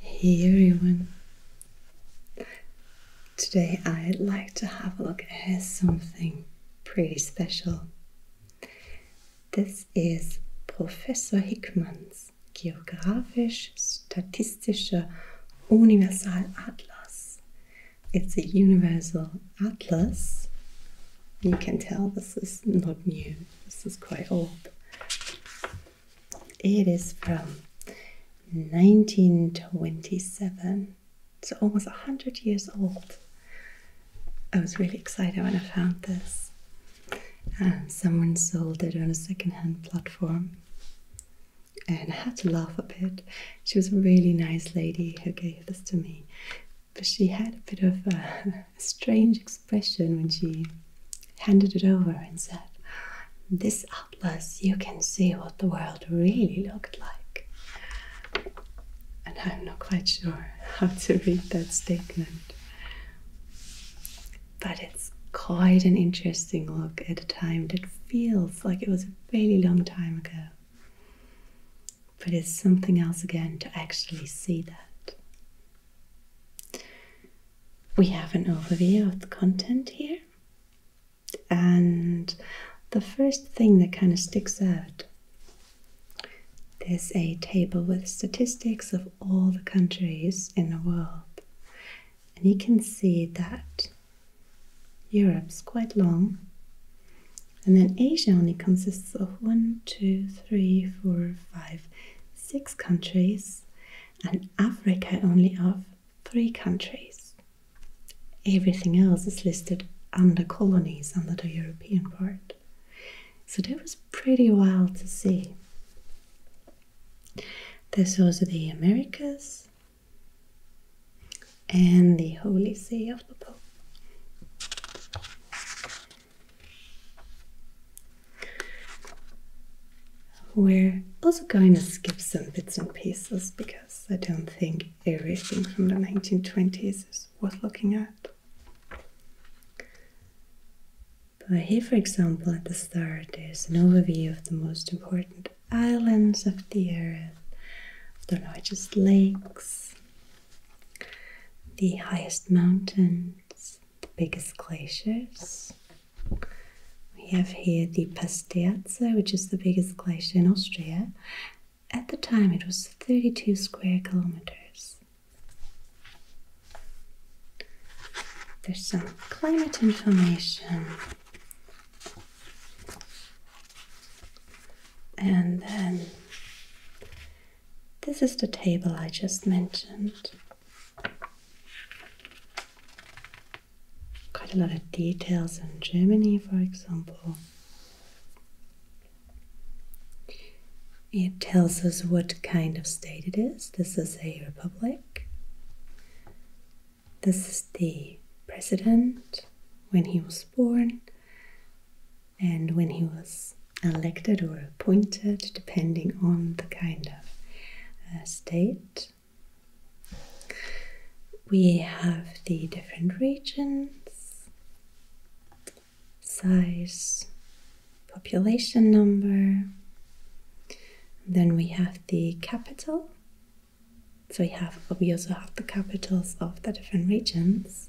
Hey everyone! Today I'd like to have a look at something pretty special. This is Professor Hickman's Geografisch-Statistischer Universalatlas. It's a universal atlas. You can tell this is not new. This is quite old. It is from 1927. so almost 100 years old. I was really excited when I found this. someone sold it on a second-hand platform. And I had to laugh a bit. She was a really nice lady who gave this to me. But she had a bit of a her strange expression when she handed it over and said, This atlas, you can see what the world really looked like. And I'm not quite sure how to read that statement. But it's quite an interesting look at a time that feels like it was a really long time ago. But it's something else again to actually see that. We have an overview of the content here, and the first thing that kind of sticks out there's a table with statistics of all the countries in the world, and you can see that Europe's quite long. And then Asia only consists of one, two, three, four, five, six countries and Africa only of three countries. Everything else is listed under colonies under the European part. So that was pretty wild to see. This was the Americas and the Holy See of the Pope. We're also going to skip some bits and pieces because I don't think everything from the 1920s is worth looking at. But here, for example, at the start, there's an overview of the most important islands of the earth, the largest lakes, the highest mountains, the biggest glaciers. We have here the Pasterze, which is the biggest glacier in Austria. At the time, it was 32 square kilometers. There's some climate information. And then this is the table I just mentioned. Quite a lot of details in Germany, for example. It tells us what kind of state it is. This is a republic. This is the president when he was born and when he was elected or appointed depending on the kind of uh, state. We have the different regions, size, population number. Then we have the capital. So we have we also have the capitals of the different regions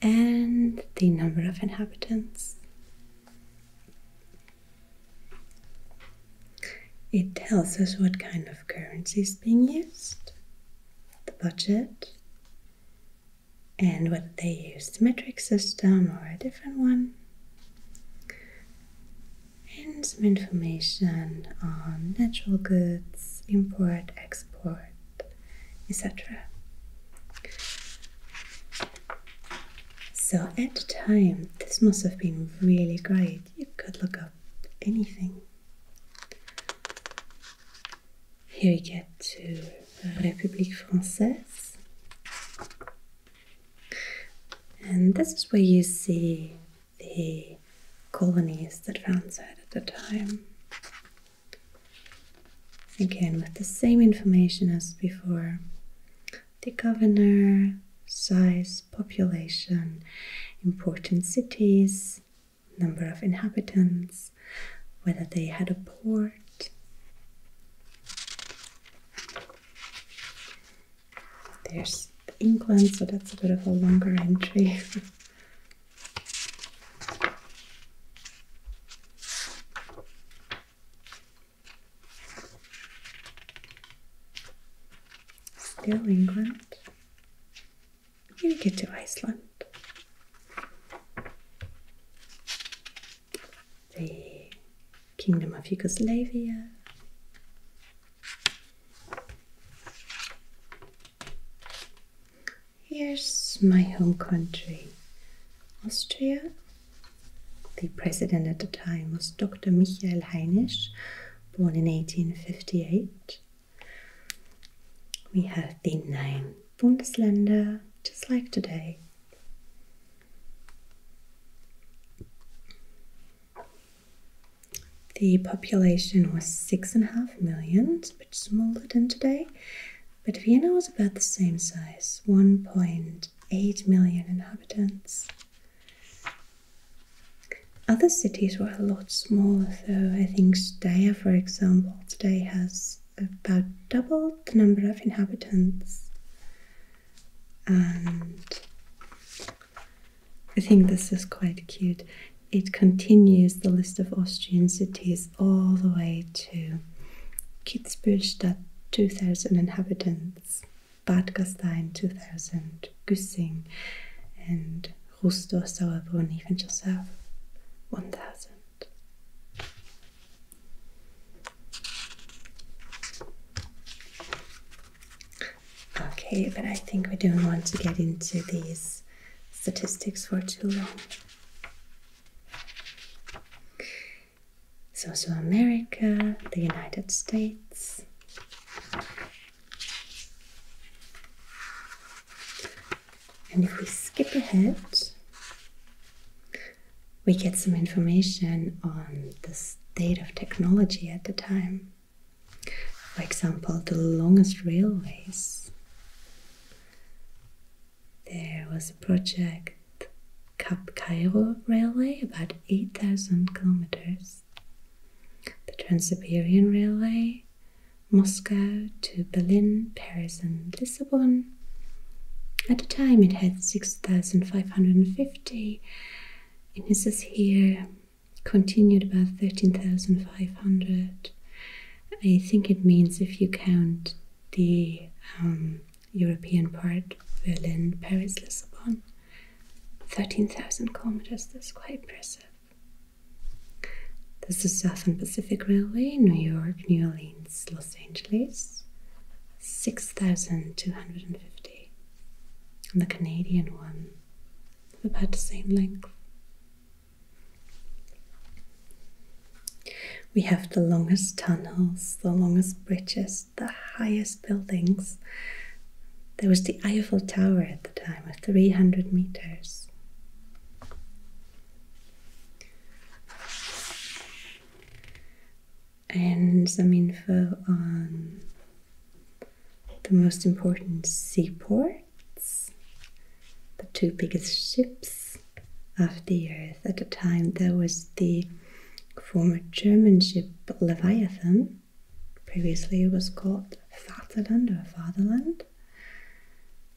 and the number of inhabitants. It tells us what kind of currency is being used, the budget, and whether they use the metric system or a different one. And some information on natural goods, import, export, etc. So at the time, this must have been really great. You could look up anything. Here we get to République Française. And this is where you see the colonies that France had at the time. Again, with the same information as before the governor, size, population, important cities, number of inhabitants, whether they had a port. There's England, so that's a bit of a longer entry. Still England. Maybe get to Iceland. The Kingdom of Yugoslavia. Here's my home country, Austria. The president at the time was Dr. Michael Heinisch, born in 1858. We have the name Bundesländer, just like today. The population was six and a half million, a bit smaller than today, but Vienna was about the same size 1.8 million inhabitants. Other cities were a lot smaller, though. I think Steyr, for example, today has about double the number of inhabitants. And I think this is quite cute. It continues the list of Austrian cities all the way to Kitzbühel, 2,000 inhabitants, Bad Gastein 2,000, Güssing and Rustow, Sauerbrunn, even just have 1,000. Okay, but I think we don't want to get into these statistics for too long. It's also America, the United States. And if we skip ahead, we get some information on the state of technology at the time. For example, the longest railways there was a project Cap Cairo Railway, about 8,000 kilometers. The Trans Siberian Railway, Moscow to Berlin, Paris, and Lisbon. At the time, it had 6,550, and it says here continued about 13,500. I think it means if you count the um, European part, Berlin, Paris, Lisbon. 13,000 kilometers, that's quite impressive. There's the Southern Pacific Railway, New York, New Orleans, Los Angeles, 6,250. And the Canadian one, about the same length. We have the longest tunnels, the longest bridges, the highest buildings. There was the Eiffel Tower at the time of 300 meters. And some info on um, the most important seaports, the two biggest ships, of the earth. At the time, there was the former German ship Leviathan, previously it was called Vaterland or Fatherland.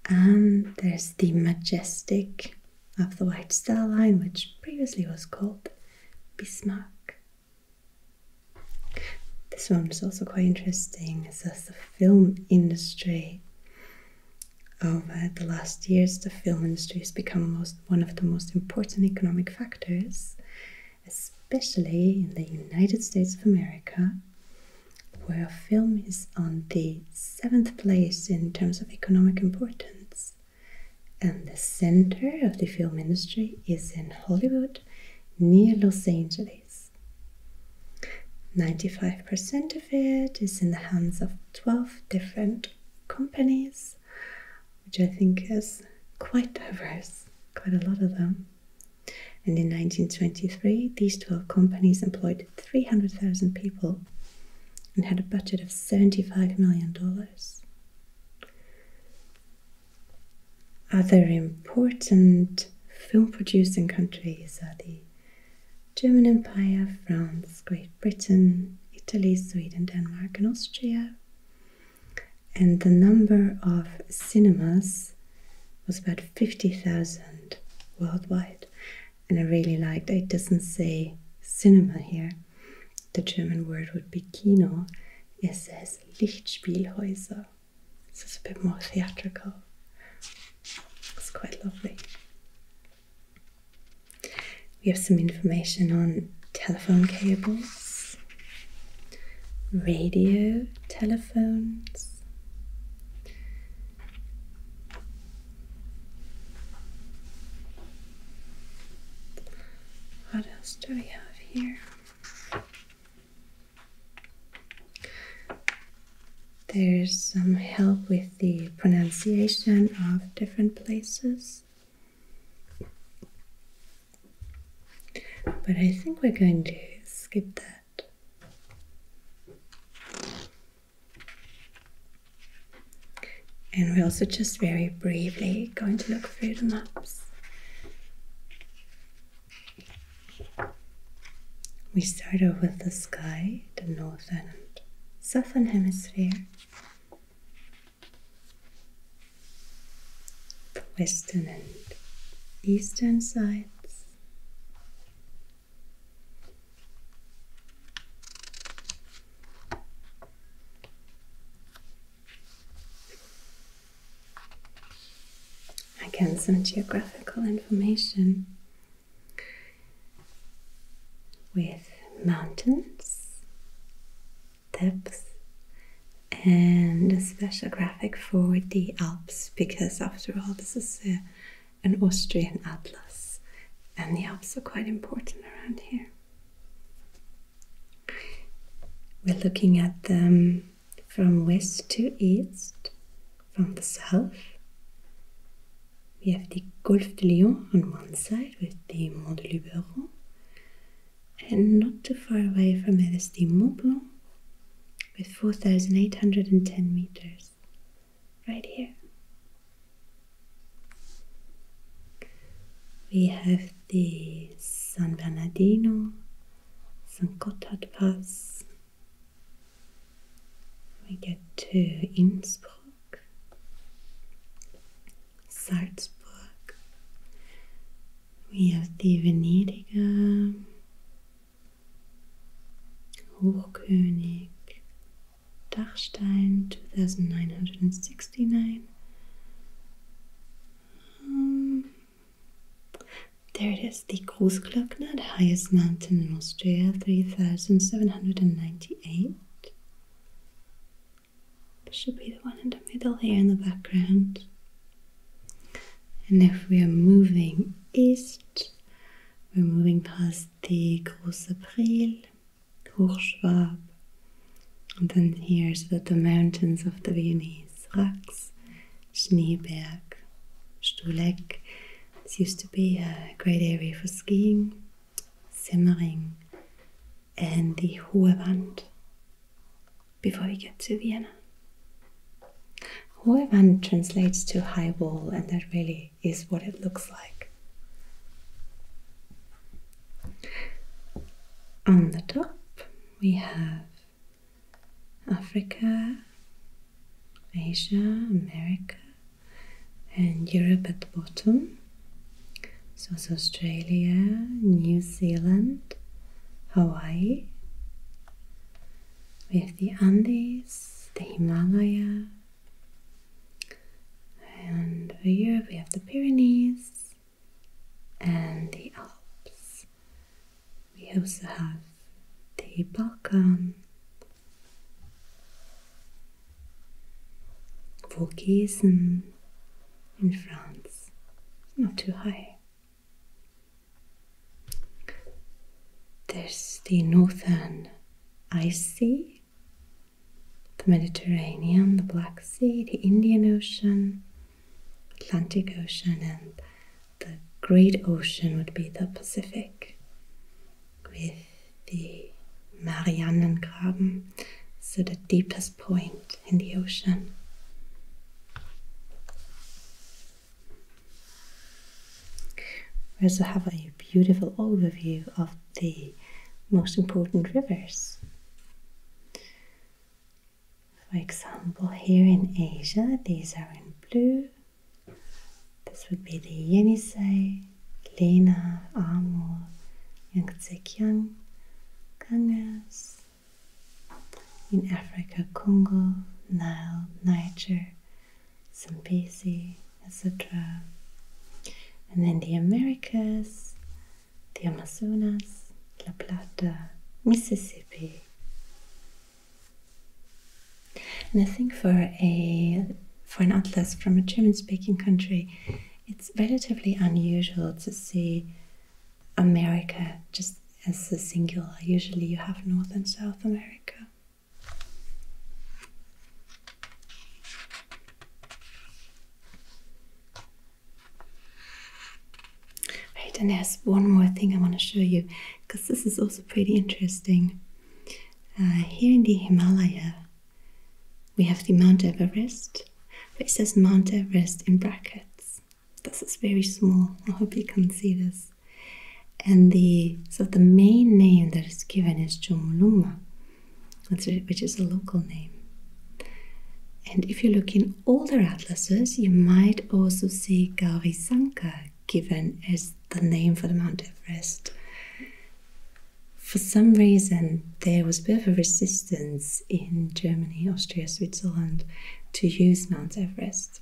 And there's the Majestic of the White Star Line, which previously was called Bismarck. This one is also quite interesting. It says the film industry over the last years, the film industry has become most, one of the most important economic factors, especially in the United States of America, where film is on the seventh place in terms of economic importance. And the center of the film industry is in Hollywood, near Los Angeles. 95% of it is in the hands of 12 different companies which I think is quite diverse, quite a lot of them. And in 1923, these 12 companies employed 300,000 people and had a budget of $75 million. Other important film producing countries are the German Empire, France, Great Britain, Italy, Sweden, Denmark, and Austria. And the number of cinemas was about 50,000 worldwide. And I really liked it doesn't say cinema here. The German word would be Kino. It says Lichtspielhäuser. it's a bit more theatrical. It's quite lovely. We have some information on telephone cables, radio telephones, what else do we have here? There's some help with the pronunciation of different places. But I think we're going to skip that. And we're also just very briefly going to look through the maps. We start off with the sky, the northern and southern hemisphere, western and eastern sides. Again, some geographical information with mountains, depths, and a special graphic for the Alps because, after all, this is an Austrian atlas, and the Alps are quite important around here. We're looking at them from west to east, from the south we er have the Gulf de Lyon on one side with the Mont de Luberon, and not too far away from it is the Mont Blanc with 4,810 meters, right here. We have the San Bernardino, San Gotthard Pass. We get to Innsbruck Salzburg, wie auch die Venediger, Hochkönig, Dachstein 2969. Um, there it is, the Großglockner, the highest mountain in Austria, 3798. should be the one in the middle here in the background. And if we are moving east, we're moving past the Große Priel, Hochschwab, and then here's the, the mountains of the Viennese, Rax, Schneeberg, Stuleck. This used to be a great area for skiing, Simmering, and the Hohe Wand before we get to Vienna. Hohe Wand translates to high wall, and that really is what it looks like. On the top, we have Africa, Asia, America, and Europe at the bottom. So it's Australia, New Zealand, Hawaii. We have the Andes, the Himalaya, and for Europe we have the Pyrenees and the Alps. We also have the Balkan Vaucaisin in France, not too high. There's the northern Ice the Mediterranean, the Black Sea, the Indian Ocean, Atlantic Ocean, and the Great Ocean would be the Pacific, with the Marianengraben, so the deepest point in the ocean. We also have a beautiful overview of the most important rivers. For example, here in Asia, these are in blue. This would be the Yenisei, Lena, Amor, Yangtzekiang, Ganges. In Africa, Congo, Nile, Niger, Zambezi, etc. And then the Americas, the Amazonas, La Plata, Mississippi. And I think for a for an atlas from a German speaking country it's relatively unusual to see America just as a singular. Usually you have North and South America. Right, and there's one more thing I want to show you because this is also pretty interesting. Uh, here in the Himalaya, we have the Mount Everest, but it says Mount Everest in brackets. This is very small. I hope you can see this. And the so the main name that is given is Chomolungma, which is a local name. And if you look in older atlases, you might also see Gaurisankar given as the name for the Mount Everest for some reason, there was a bit of a resistance in Germany, Austria, Switzerland to use Mount Everest,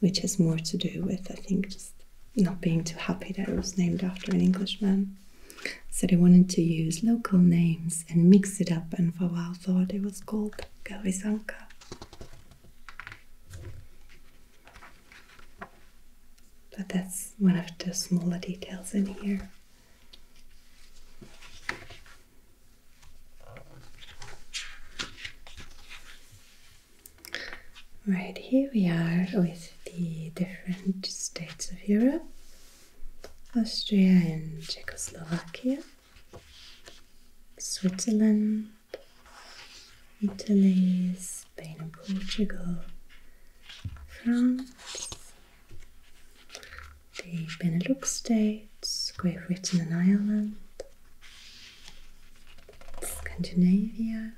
which has more to do with, I think, just not being too happy that it was named after an Englishman. So they wanted to use local names and mix it up, and for a while thought it was called Gaurisanka. But that's one of the smaller details in here. Right, here we are with the different states of Europe Austria and Czechoslovakia, Switzerland, Italy, Spain and Portugal, France, the Benelux states, Great Britain and Ireland, Scandinavia,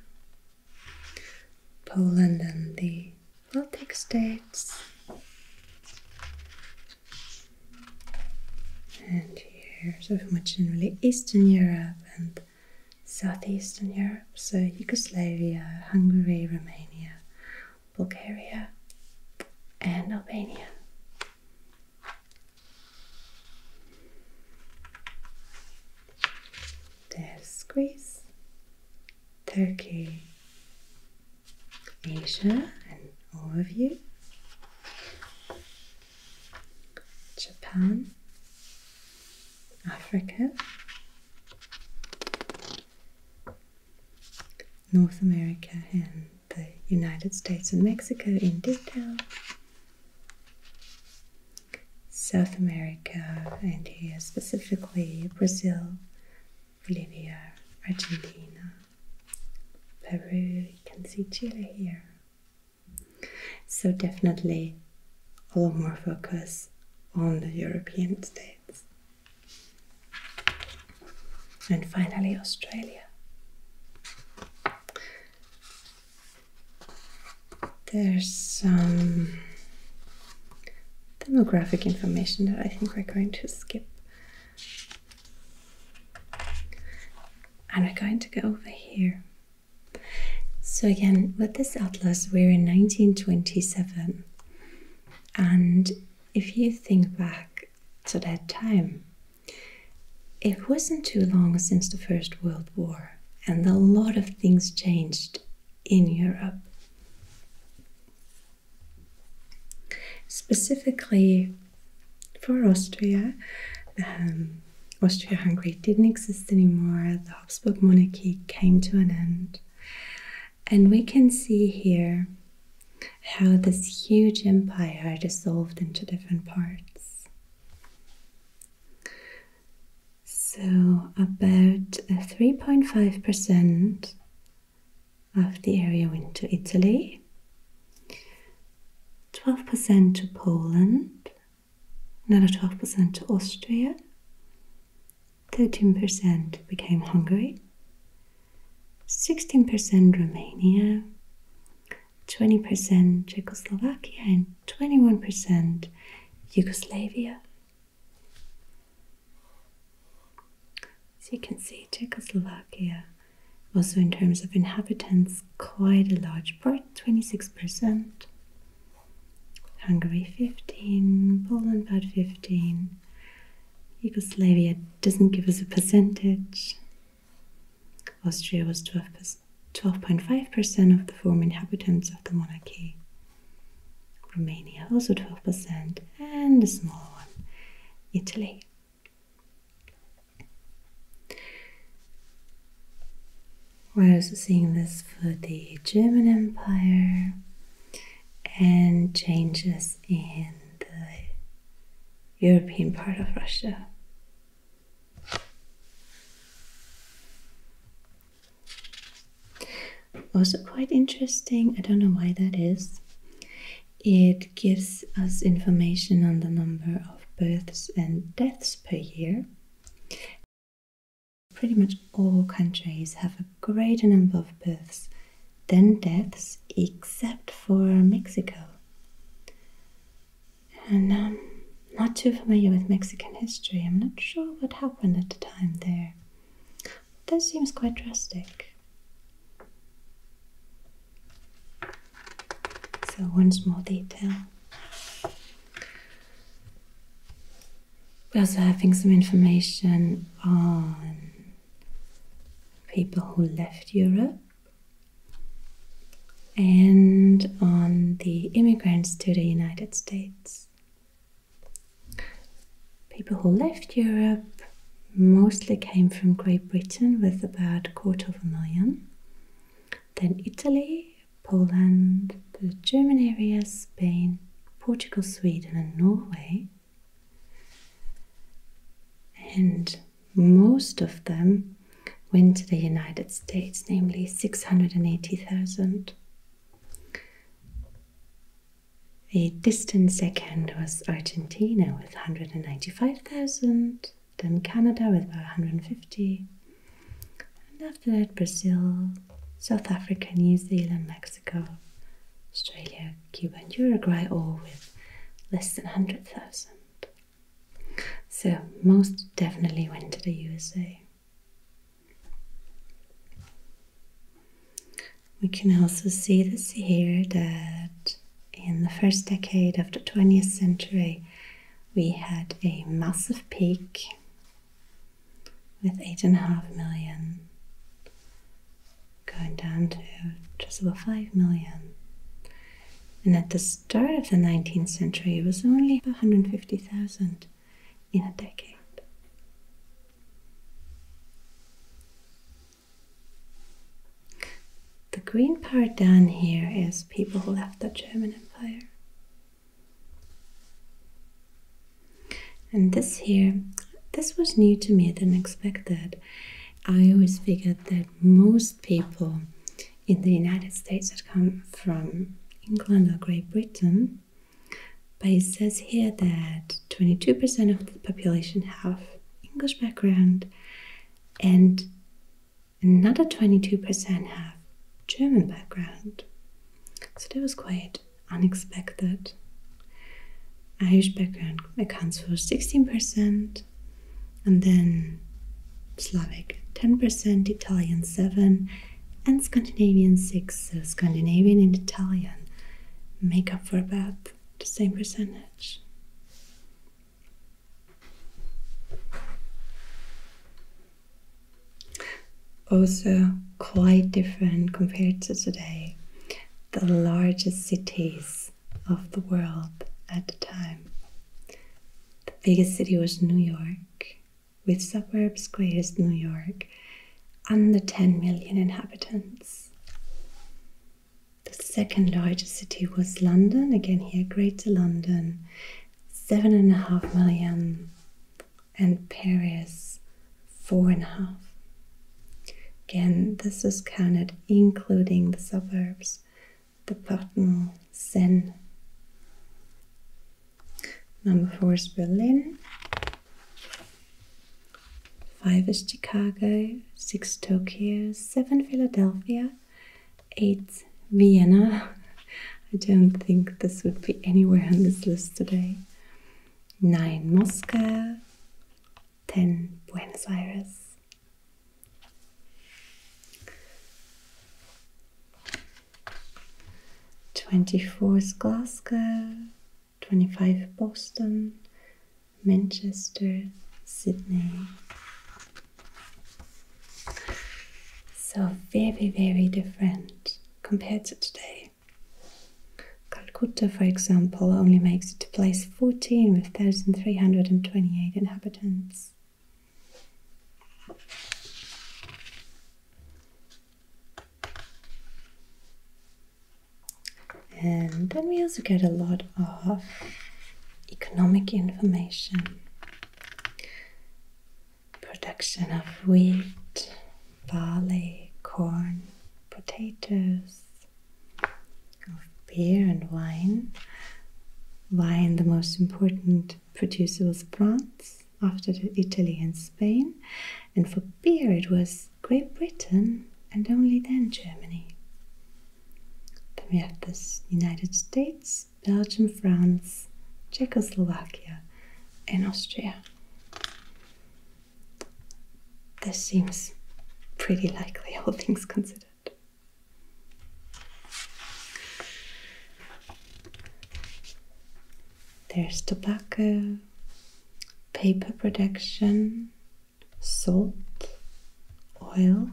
Poland and the Baltic states, and here's so much in really Eastern Europe and Southeastern Europe so Yugoslavia, Hungary, Romania, Bulgaria, and Albania. There's Greece, Turkey, Asia, and all of you, Japan, Africa, North America and the United States and Mexico in detail, South America, and here specifically Brazil, Bolivia, Argentina, Peru, you can see Chile here. So, definitely a lot more focus on the European states. And finally, Australia. There's some demographic information that I think we're going to skip. And we're going to go over here. So, again, with this atlas, we're in 1927. And if you think back to that time, it wasn't too long since the First World War, and a lot of things changed in Europe. Specifically for Austria, um, Austria Hungary didn't exist anymore, the Habsburg monarchy came to an end. And we can see here how this huge empire dissolved into different parts. So, about 3.5% of the area went to Italy, 12% to Poland, another 12% to Austria, 13% became Hungary, 16% Romania, 20% Czechoslovakia, and 21% Yugoslavia. As you can see, Czechoslovakia, also in terms of inhabitants, quite a large part 26%, Hungary 15, Poland about 15, Yugoslavia doesn't give us a percentage. Austria was 12.5% of the former inhabitants of the monarchy. Romania also 12%, and a small one, Italy. We're also seeing this for the German Empire, and changes in the European part of Russia. Also, quite interesting, I don't know why that is. It gives us information on the number of births and deaths per year Pretty much all countries have a greater number of births than deaths, except for Mexico. And I'm um, not too familiar with Mexican history. I'm not sure what happened at the time there. That seems quite drastic. So, one small detail. We're also having some information on people who left Europe and on the immigrants to the United States. People who left Europe mostly came from Great Britain with about a quarter of a million, then Italy, Poland, the German area, Spain, Portugal, Sweden, and Norway. And most of them went to the United States, namely 680,000. A distant second was Argentina with 195,000, then Canada with about 150, and after that, Brazil, South Africa, New Zealand, Mexico. Mexico, Australia, Cuba, and Uruguay, all with less than 100,000. So, most definitely went to the USA. We can also see this here that in the first decade of the 20th century, we had a massive peak with 8.5 million going down to just about 5 million. And at the start of the 19th century, it was only 150,000 in a decade. The green part down here is people who left the German Empire. And this here, this was new to me I didn't expect that. I always figured that most people in the United States had come from England or Great Britain, but it says here that 22% of the population have English background and another 22% have German background. So that was quite unexpected. Irish background accounts for 16%, and then Slavic 10%, Italian 7 and Scandinavian 6. So Scandinavian and Italian make up for about the same percentage also quite different compared to today. The largest cities of the world at the time. The biggest city was New York, with suburbs greatest New York, under 10 million inhabitants. The second largest city was London, again here Greater London, seven and a half million and Paris four and a half. Again, this is counted including the suburbs, The Departement Seine. Number four is Berlin. Five is Chicago, six Tokyo, seven Philadelphia, eight Vienna. I don't think this would be anywhere on this list today. 9 Moscow, 10 Buenos Aires. Twenty four Glasgow, twenty five Boston, Manchester, Sydney. So very, very different compared to today. Calcutta, for example, only makes it to place 14 with 1,328 inhabitants. And then we also get a lot of economic information production of wheat, barley, corn, potatoes, of beer and wine. Wine, the most important producer was France after Italy and Spain, and for beer it was Great Britain and only then Germany. Then we have the United States, Belgium, France, Czechoslovakia, and Austria. This seems pretty likely, all things considered. There's tobacco, paper production, salt, oil.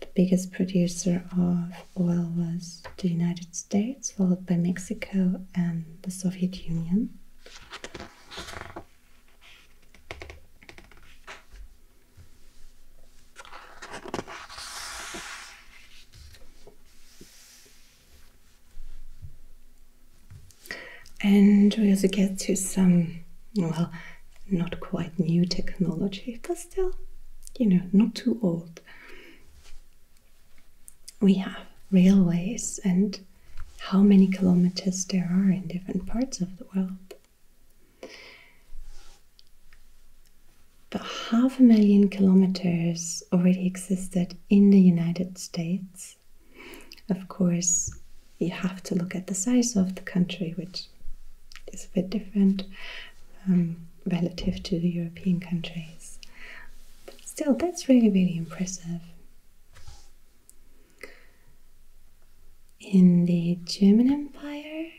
The biggest producer of oil was the United States, followed by Mexico and the Soviet Union. And we also get to some, well, not quite new technology, but still, you know, not too old we have railways and how many kilometers there are in different parts of the world. But half a million kilometers already existed in the United States. Of course, you have to look at the size of the country, which is a bit different um, relative to the European countries. But still, that's really, really impressive. In the German Empire,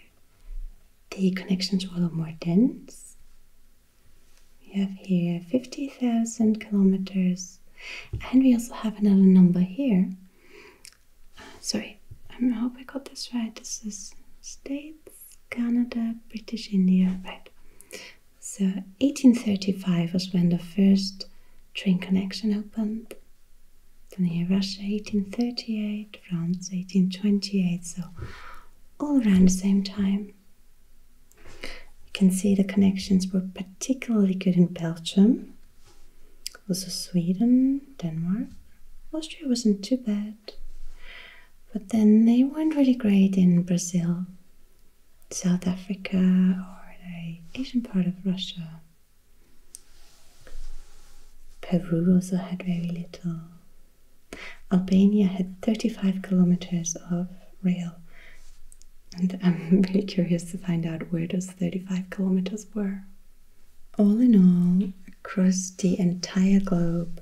the connections were a little more dense. We have here 50,000 kilometers, and we also have another number here. Uh, sorry, um, I hope I got this right. This is states, Canada, British India, right? So 1835 was when the first train connection opened. Then here Russia 1838, France 1828, so all around the same time. You can see the connections were particularly good in Belgium, also Sweden, Denmark. Austria wasn't too bad, but then they weren't really great in Brazil South Africa or the Asian part of Russia. Peru also had very little. Albania had 35 kilometers of rail. And I'm really curious to find out where those 35 kilometers were. All in all, across the entire globe,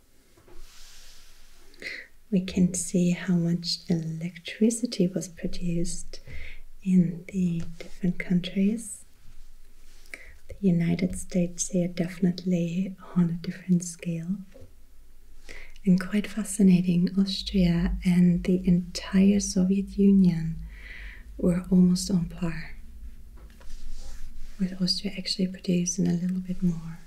We can see how much electricity was produced in the different countries. The United States here definitely on a different scale. And quite fascinating, Austria and the entire Soviet Union were almost on par with Austria actually producing a little bit more.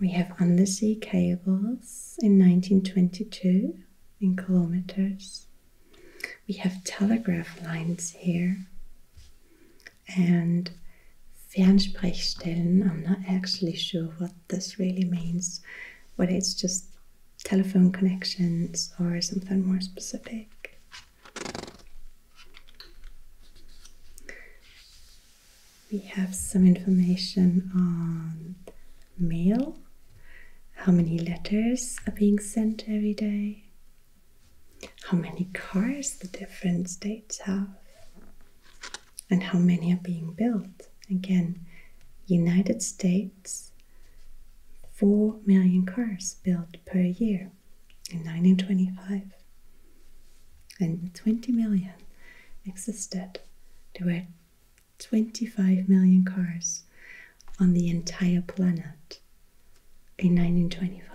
We have undersea cables in 1922 in kilometers. We have telegraph lines here and Fernsprechstellen. I'm not actually sure what this really means, whether it's just telephone connections or something more specific. We have some information on mail, how many letters are being sent every day, how many cars the different states have, and how many are being built. Again, United States 4 million cars built per year in 1925, and 20 million existed. There were 25 million cars on the entire planet in 1925.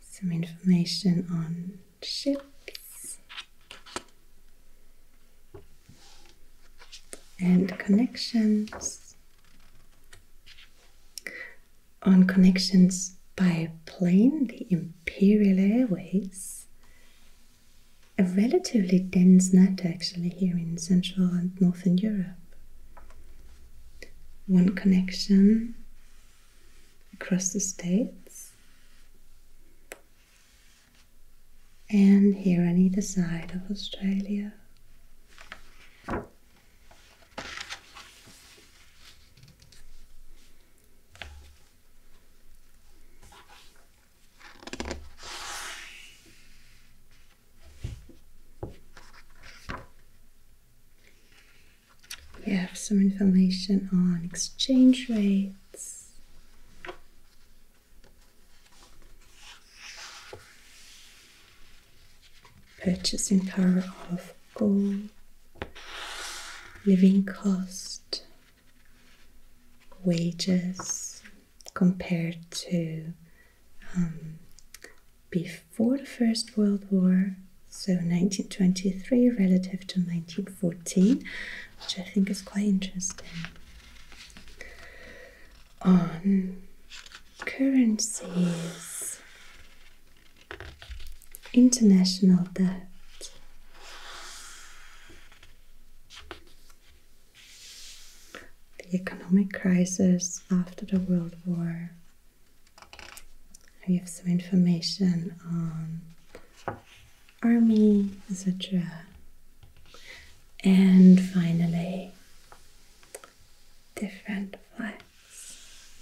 Some information on chips and connections on connections by plane the imperial airways a relatively dense net actually here in central and northern europe one connection across the states and here on either side of Australia. We have some information on exchange rates. Purchasing power of gold, living cost, wages compared to um, before the First World War so 1923 relative to 1914, which I think is quite interesting. On currencies, international debt. The economic crisis after the World War, we have some information on army, etc. And finally, different flags.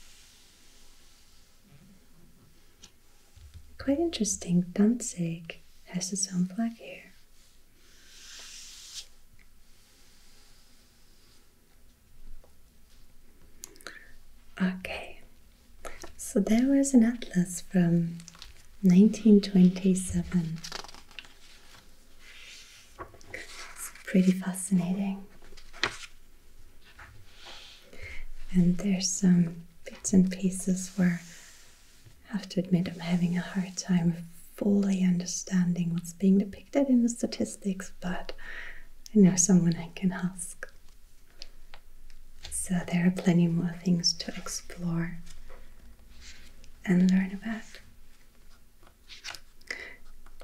Quite interesting, Danzig has its own flag here. Okay, so there was an atlas from 1927. It's pretty fascinating. And there's some bits and pieces where I have to admit I'm having a hard time fully understanding what's being depicted in the statistics, but I know someone I can ask. So there are plenty more things to explore and learn about.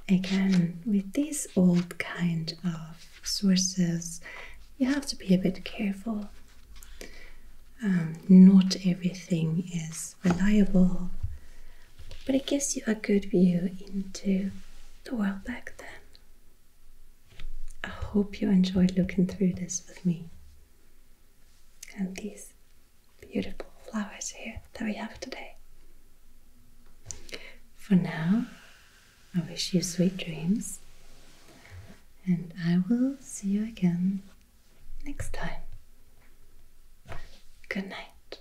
Again, with these old kind of sources, you have to be a bit careful. Um, not everything is reliable, but it gives you a good view into the world back then. I hope you enjoyed looking through this with me. And these beautiful flowers here that we have today. For now, I wish you sweet dreams, and I will see you again next time. Good night.